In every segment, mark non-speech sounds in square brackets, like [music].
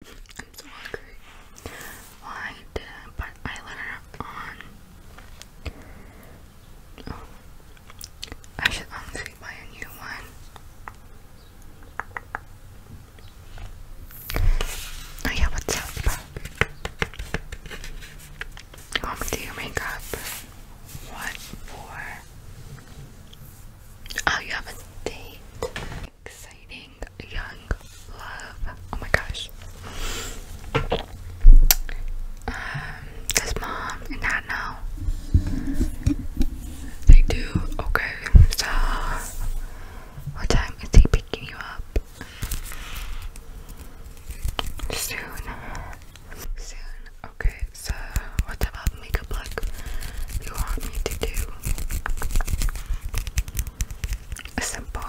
I'm so hungry. I did but I let her on. Oh. I should honestly buy a new one. Oh yeah, what's up? How oh, do your makeup? What for? Oh, you have a date exciting young love. Oh my gosh. Um, does mom and dad know? They do. Okay. So, what time is he picking you up? Soon. Soon. Okay. So, what type makeup look you want me to do? A Simple.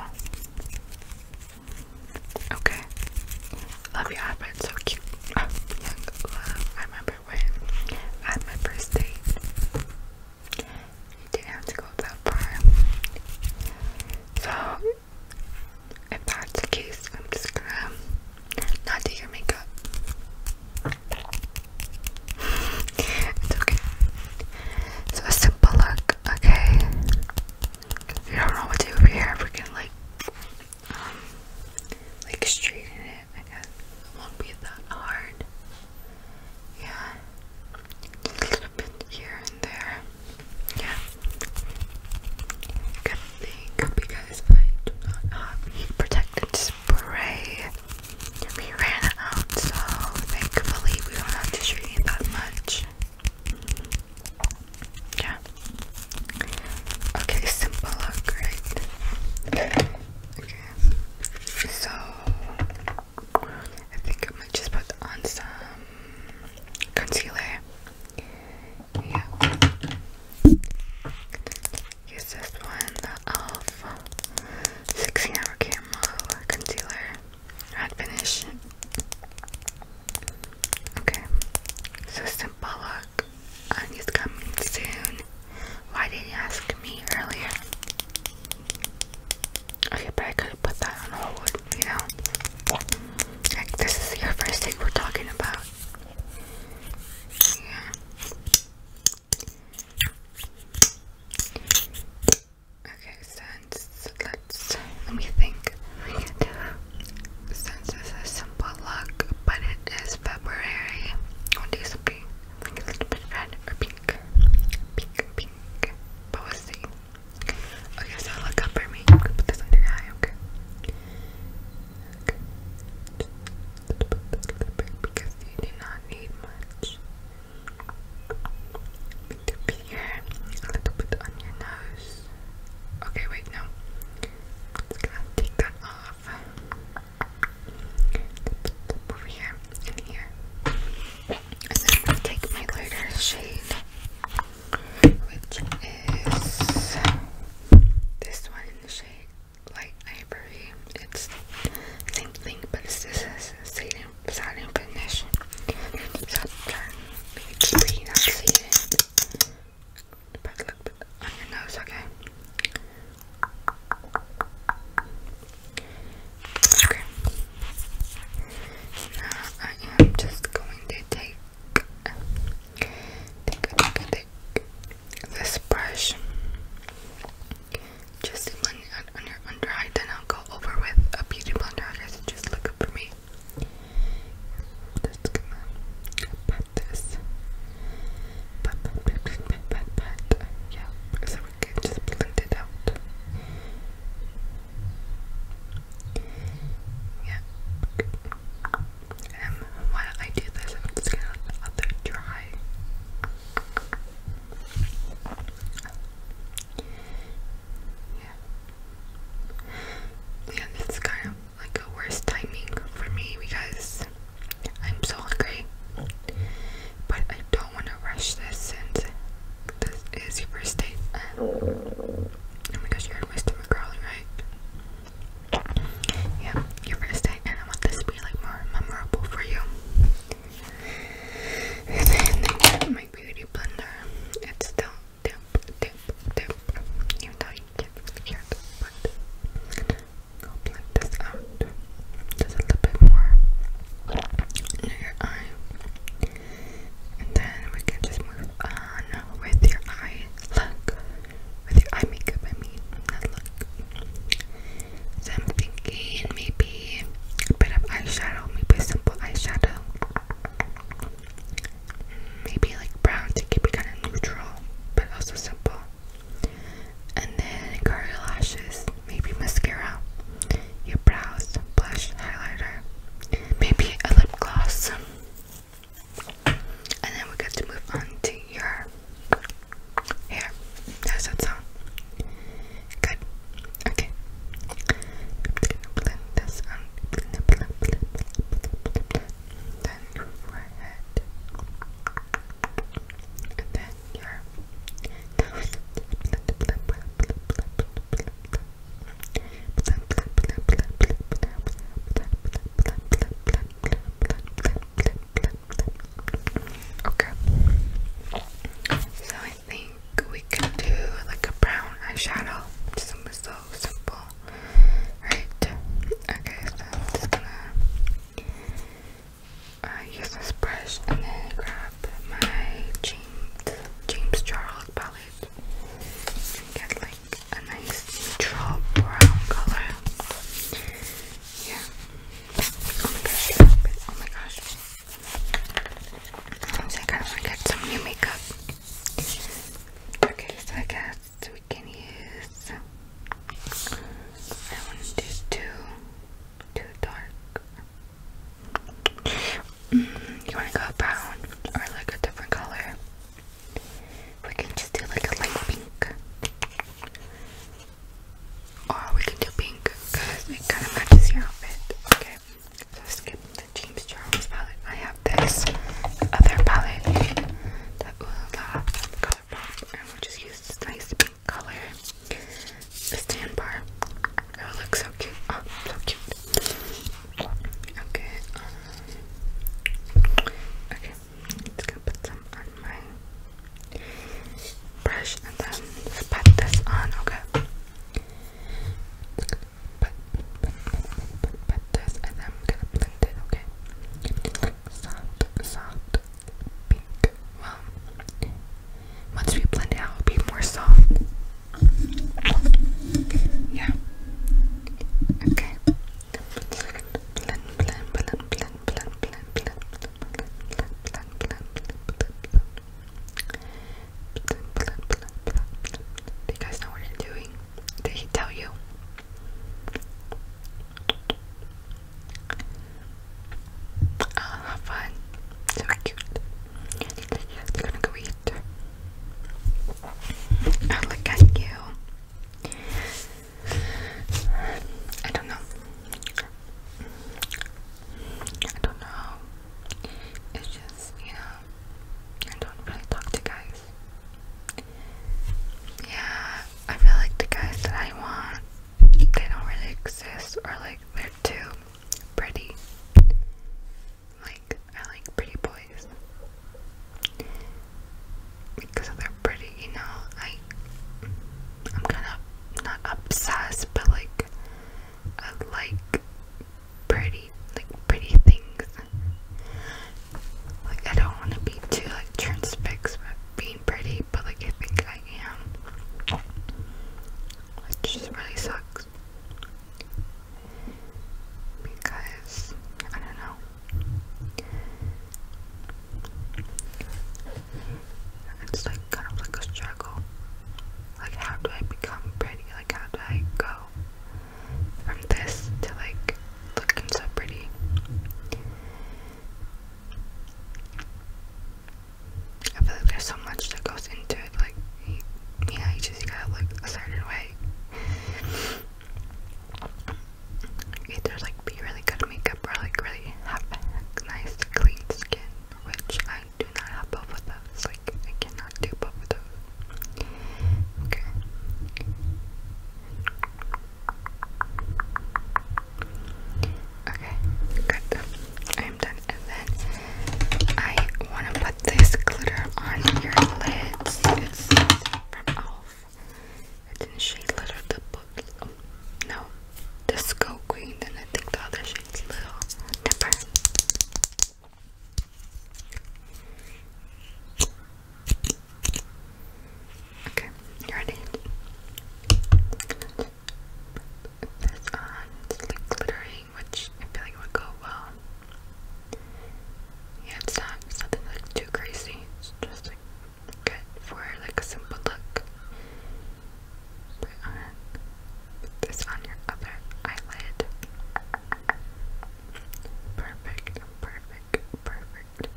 Okay. Love your eyebrow, so cute. [laughs] I remember when I my first date. You didn't have to go that far. So, if that's the case, I'm just gonna not do your makeup it's okay. It's a simple look, okay? If don't know what to do with your hair, we like, um, like straighten it, I guess. won't be that hard. Yeah. a little bit here and there. Yeah. Good thing because I do not have heat spray we ran out, so thankfully we don't have to shoot that much. Yeah. Okay, simple look, Okay. So I think I might just put on some concealer. Yeah. Use this one, the e.l.f. 16 Hour Camel Concealer, Matte Finish. Okay, so Simple Look, and um, coming soon. Why did you ask me earlier? Okay, but I could put that on hold, you know? this is your first thing we're talking about. Yeah. Okay, since let's let me think. Since this is simple luck, but it is February. What do you think? I think a little bit red or pink. Pink, pink. But we'll see. Okay, so look up for me. put this under eye, okay because you do not need much. To be here, a little bit on your nose. Okay, wait, no. Just gonna take that off. Over here and here. And then I'm gonna take my lighter shade, which is this one in the shade like ivory. It's same thing, but it's just satin, satin finish. So turn page three, that's satin. Put a on your nose, okay? Okay. Now I am just going to take, take, take, take, this brush just on, on your under eye then I'll go over with a beauty blender I just look up for me just gonna pat this pat pat pat pat pat yeah so we can just blend it out yeah and um, while I do this, I'm just gonna let the dry. Yeah. Yeah, this kind of like a worst timing for me because I'm so hungry. But I don't want to rush this since this is your first date. Oh my gosh, you are my stomach growling, right? Yeah, your first date, and I want this to be like more memorable for you. And then I got my beauty blender. It's still dip, dip, dip. Even though you can't really hear it, but go blend this out. Just a little bit more near your eye. And then we can just move on with your eye look. With your eye makeup, I mean, look. So I'm thinking maybe a bit of eyeshadow, maybe simple eyeshadow. Maybe like brown to keep it kind of neutral, but also simple. And then curl your lashes, maybe mascara, your brows, blush, highlighter, maybe a lip gloss. And then we got to move on to your hair. How's that sound? Good. Okay. Gonna blend this on. Blend, blend, blend, And then your nose. Okay. So I think we can do like a brown eyeshadow. Something so simple. Right. Okay, so I'm just gonna uh, use this brush and then grab my James James Charles palette. And get like a nice neutral brown color. Yeah. Oh oh my gosh. I kind of get some new makeup. Okay, so I guess we can use. I want to do too, too dark. Mm, you want to go brown or like a different color? We can just do like a light pink. Or we can do pink it kind of matches your outfit. Okay, so skip the James Charles palette. I have this other palette, the Ulala Color Pop, and we'll just use this nice pink color. The stand bar. It will so cute. Oh, so cute. Okay. Um, okay. Just gonna put some on my brush and then put this on, okay? Pat, pat, pat, pat this and then gonna blend it, okay? Soft, soft, pink. Well, once we blend it out, it'll be more soft. Yeah. Okay. Do you guys know what you're doing? Did he tell you? Ah, have fun. So cute. they gonna go eat. look at you. I don't know. I don't know. It's just, you know, I don't really talk to guys. Yeah, I feel like the guys that I want, they don't really exist, or like they're too pretty. Like, I like pretty boys. Because they're pretty, you know, I I'm kinda not obsessed but like I like pretty like pretty things. Like I don't wanna be too like transfixed with being pretty, but like I think I am. Which just really sucks because I don't know. It's like kind of like a struggle. Like, how do I become pretty? Like, how do I go from this to like looking so pretty? I feel like there's so much that goes into it. Like, yeah, you just gotta look a certain way either like be really good at makeup or like really have nice clean skin, which I do not have both of those. Like I cannot do both of those. Okay. Okay, good. I'm done. And then I want to put this glitter on your lids. It's from e.l.f. It's in shade Little the book. Oh, no, Disco Green, and I think the other shade's Little Okay, you ready? This on, uh, it's like glittering, which I feel like would go well yeah, it's not it's like too crazy. It's just like good for like a simple look. Put on this on your other eyelid. Perfect, perfect, perfect.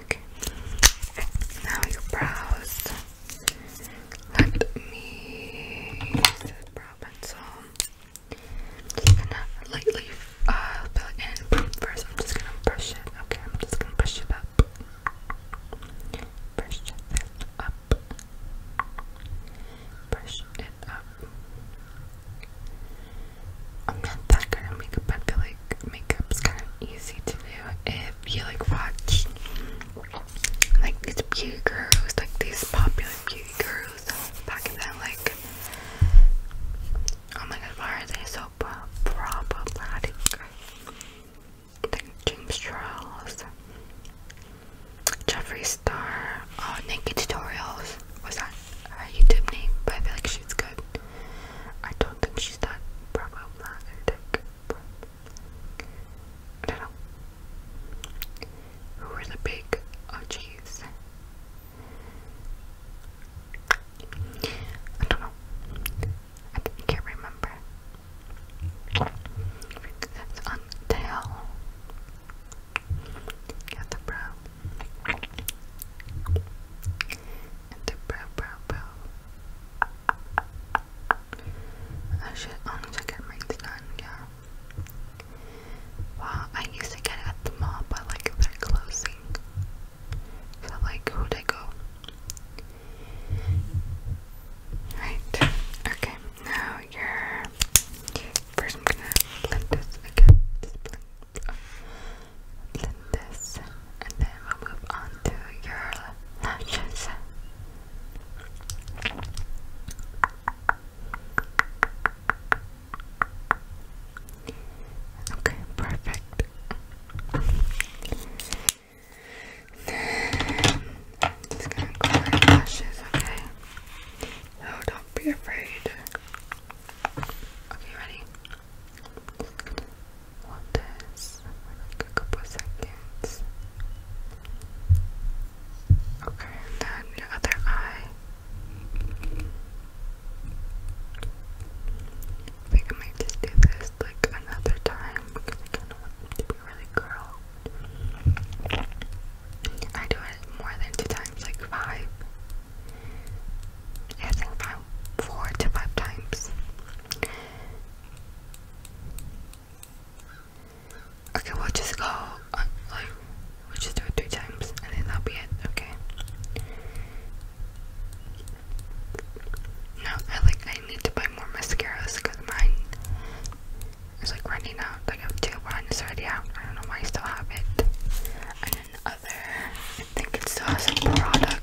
Okay. Now your brows. Let me Robinson. I'm just gonna lightly uh, fill in first. I'm just gonna brush it. Okay, I'm just gonna brush it up. Brush it up. Brush it up. I'm not that good at makeup, but like makeup's kind of easy to do if you like watch like these beauty girls, like these popular beauty gurus back in then, like oh my god, why are they so problematic? Like James Charles, Jeffrey Star, uh, Naked Tutorials. Was that her YouTube name? But I feel like she's good. I don't think she's that problematic. I don't know. Who were the big OGs? I don't know. I can't remember. on tail. Got the bro. And the bro, bro, bro. I should only to get mine done, yeah. Wow, I used to get it at the mall, but like they're closing. So like, who'd I go? Right, okay, now you First I'm gonna blend this again, blend this, and then we'll move on to your lashes. Okay, perfect. just gonna clear your lashes, okay? No, don't be afraid. Okay, ready? Hold this a couple seconds. Okay, and then the other eye. I think I might just do this like another time because I kind of want it to be really curled. I do it more than two times, like five. I think five, four to five times. Okay, we'll just go. Uh, like, we'll just do it three times, and then that'll be it. Okay. No, I like. I need to buy more mascaras because mine is like running out. I have two, one is already out. I don't know why I still have it. And then other, I think it still has product.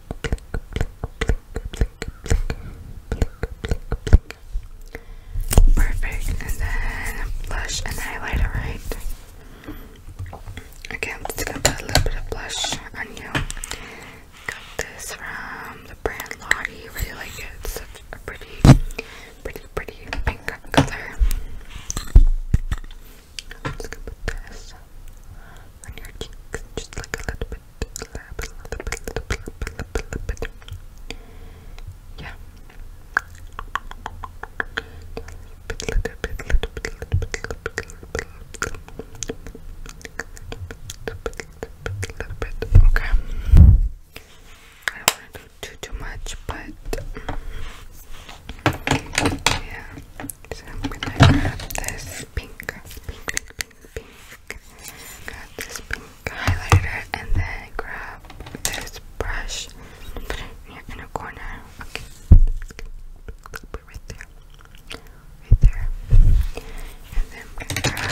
Perfect, and then blush and highlighter, right? Okay, I'm just gonna put a little bit of blush on you. Got this from the brand Lottie. Really like it. such a pretty, pretty, pretty pink color i just gonna put on your cheeks, just like a little bit, a little bit, a little bit, a little bit, a little bit, little little bit, little little bit, little little bit, little little bit. Okay. I don't want to do too much, but yeah. So I'm gonna grab this pink, pink, pink, pink, Grab this pink highlighter and then grab this brush put it in a corner. Okay. right there. Right there. And then I'm gonna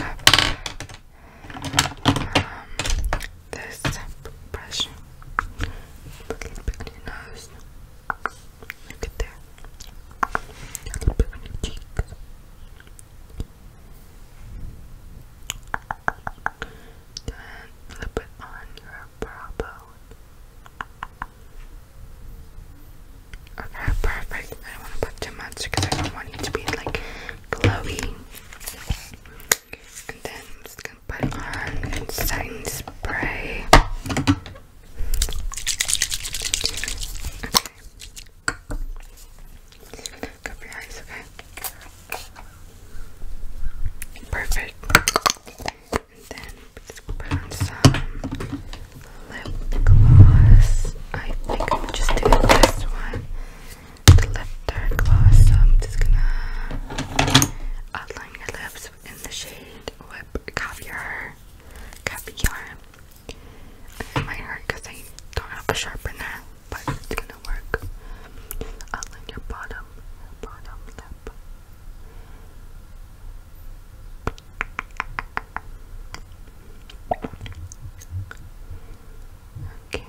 grab um this brush. Put it on your nose. Look at there. A little bit on your Then a little on your brow bone. Okay, perfect. I don't want to put too much because I don't want it to be like glowy. And then I'm just put on setting spray. Okay. Cover your eyes, okay? Perfect. And then put on some lip gloss. I think I'm just doing this one. The lip dark gloss. So I'm just gonna outline your lips in the shade Lip Caviar. Caviar. It might hurt because I don't have a sharpener, but it's gonna work. Outline your bottom, bottom lip. Okay.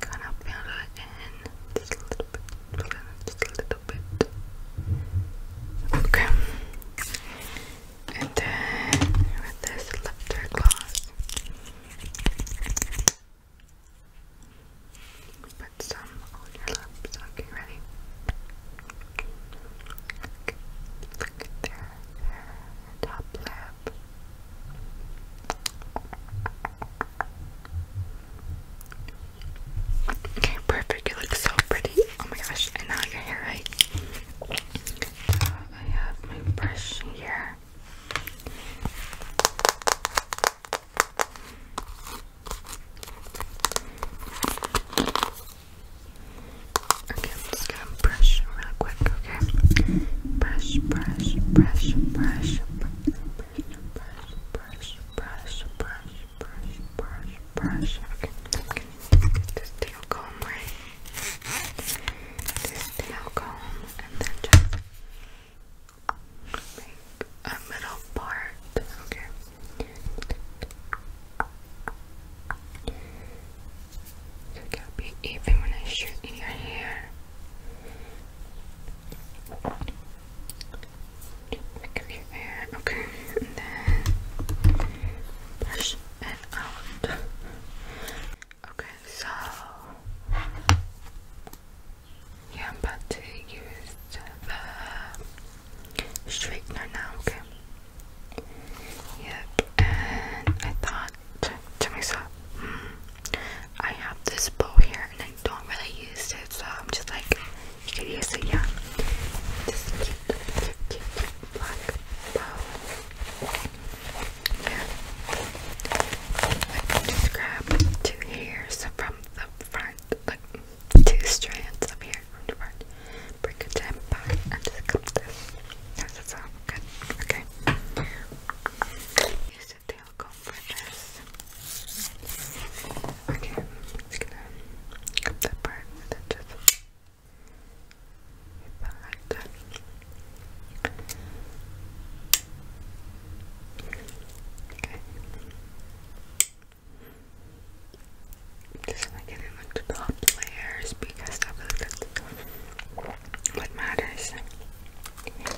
Gonna fill it in just a little bit. Just a little Okay. And then with this lifter gloss, put some on your lips. Okay, ready? Look at there. Top lip. Okay, perfect. You look so pretty. Oh my gosh, I now have your hair right. Uh, I have my brush here. Okay, I'm just going brush real quick, okay? Brush, brush, brush, brush, brush, brush, brush, brush, brush, brush, brush, brush. Okay, okay. Just tail comb, right? Just tail comb, and then just make a middle part. Okay. So it gotta be even when I shoot in your hair. Pick okay, and then brush it out. Okay, so yeah, I'm about to use the straightener now, okay? Yep, and I thought to, myself, hmm, I have this bow here and I don't really use it, so I'm just like, you could use it, yeah. This cute, cute, cute, cute bow. And I just grab two hairs from the front, like two strands of hair from the front. Bring it down back and just cut this. Does that good? Okay. Okay, I'm just gonna cut that part with it just like that. Okay. Just like it in the top layers because that's what matters. I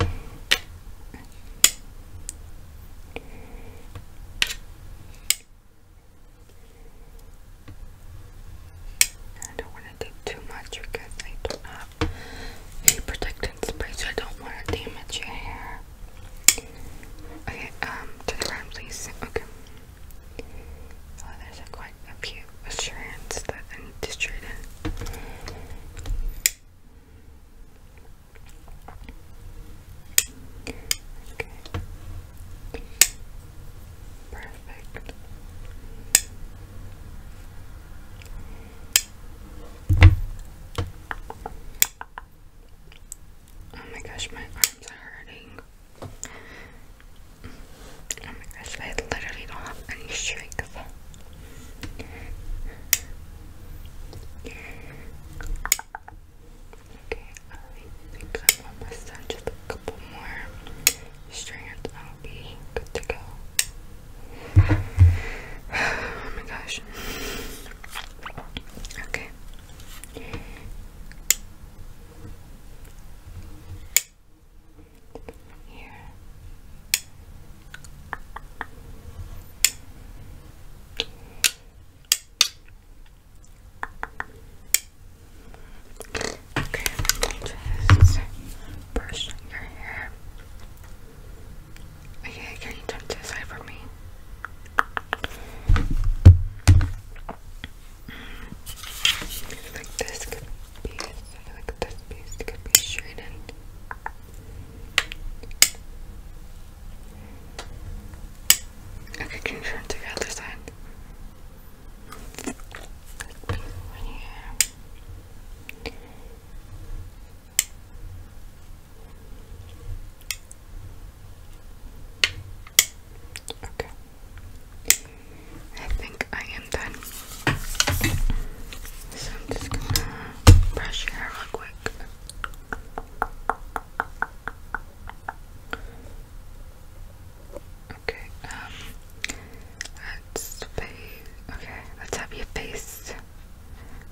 don't want to do too much because I don't have a spray, so I don't want to damage your hair. Okay, um, to the please. Okay. Oh, there's a quite a few strands that I need to straighten. Okay. Perfect. Oh my gosh, my arms are hurting. Oh my gosh, I literally don't have any strength. Okay, I think I'm almost done. Just a couple more strands, I'll be good to go. Oh my gosh. Okay here. Okay, let me just brush your hair. Okay, can you turn to the side for me? Mm. Like this like this piece could be straightened. Okay, can you turn to the other side? Okay. I think I am done. So I'm just gonna brush your hair real quick. Okay, um, let's face, okay, let's have your face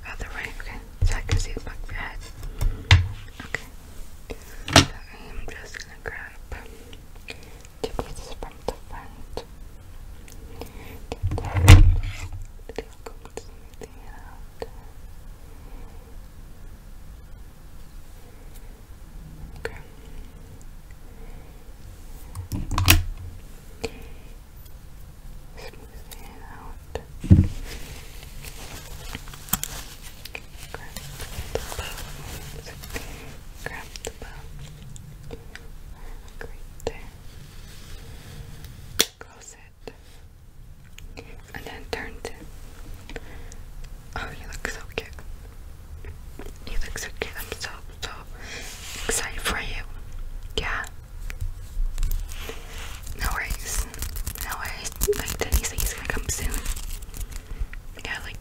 other way, okay, so I can see the back of your head. Okay, I am just gonna grab front, front. Get down. It'll come smoothing it out. Okay. Smoothing it Okay. Grab the bones. Grab the bones. Right there. Cross it. And then turns it. Oh, you look so cute. You look so cute. i so, excited for you. Yeah. No worries. No worries. Like, Denny's think he's gonna come soon. Yeah, like,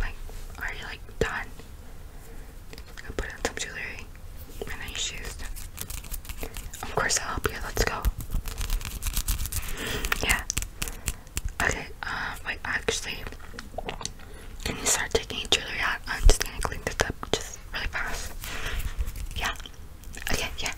like, are you, like, done? I'll put on some jewelry and then nice shoes. Of course, I'll help you. Let's go. Yeah. Okay, um, wait, actually, can you start taking jewelry out? I'm just gonna clean this up just really fast. Yeah. Okay, yeah.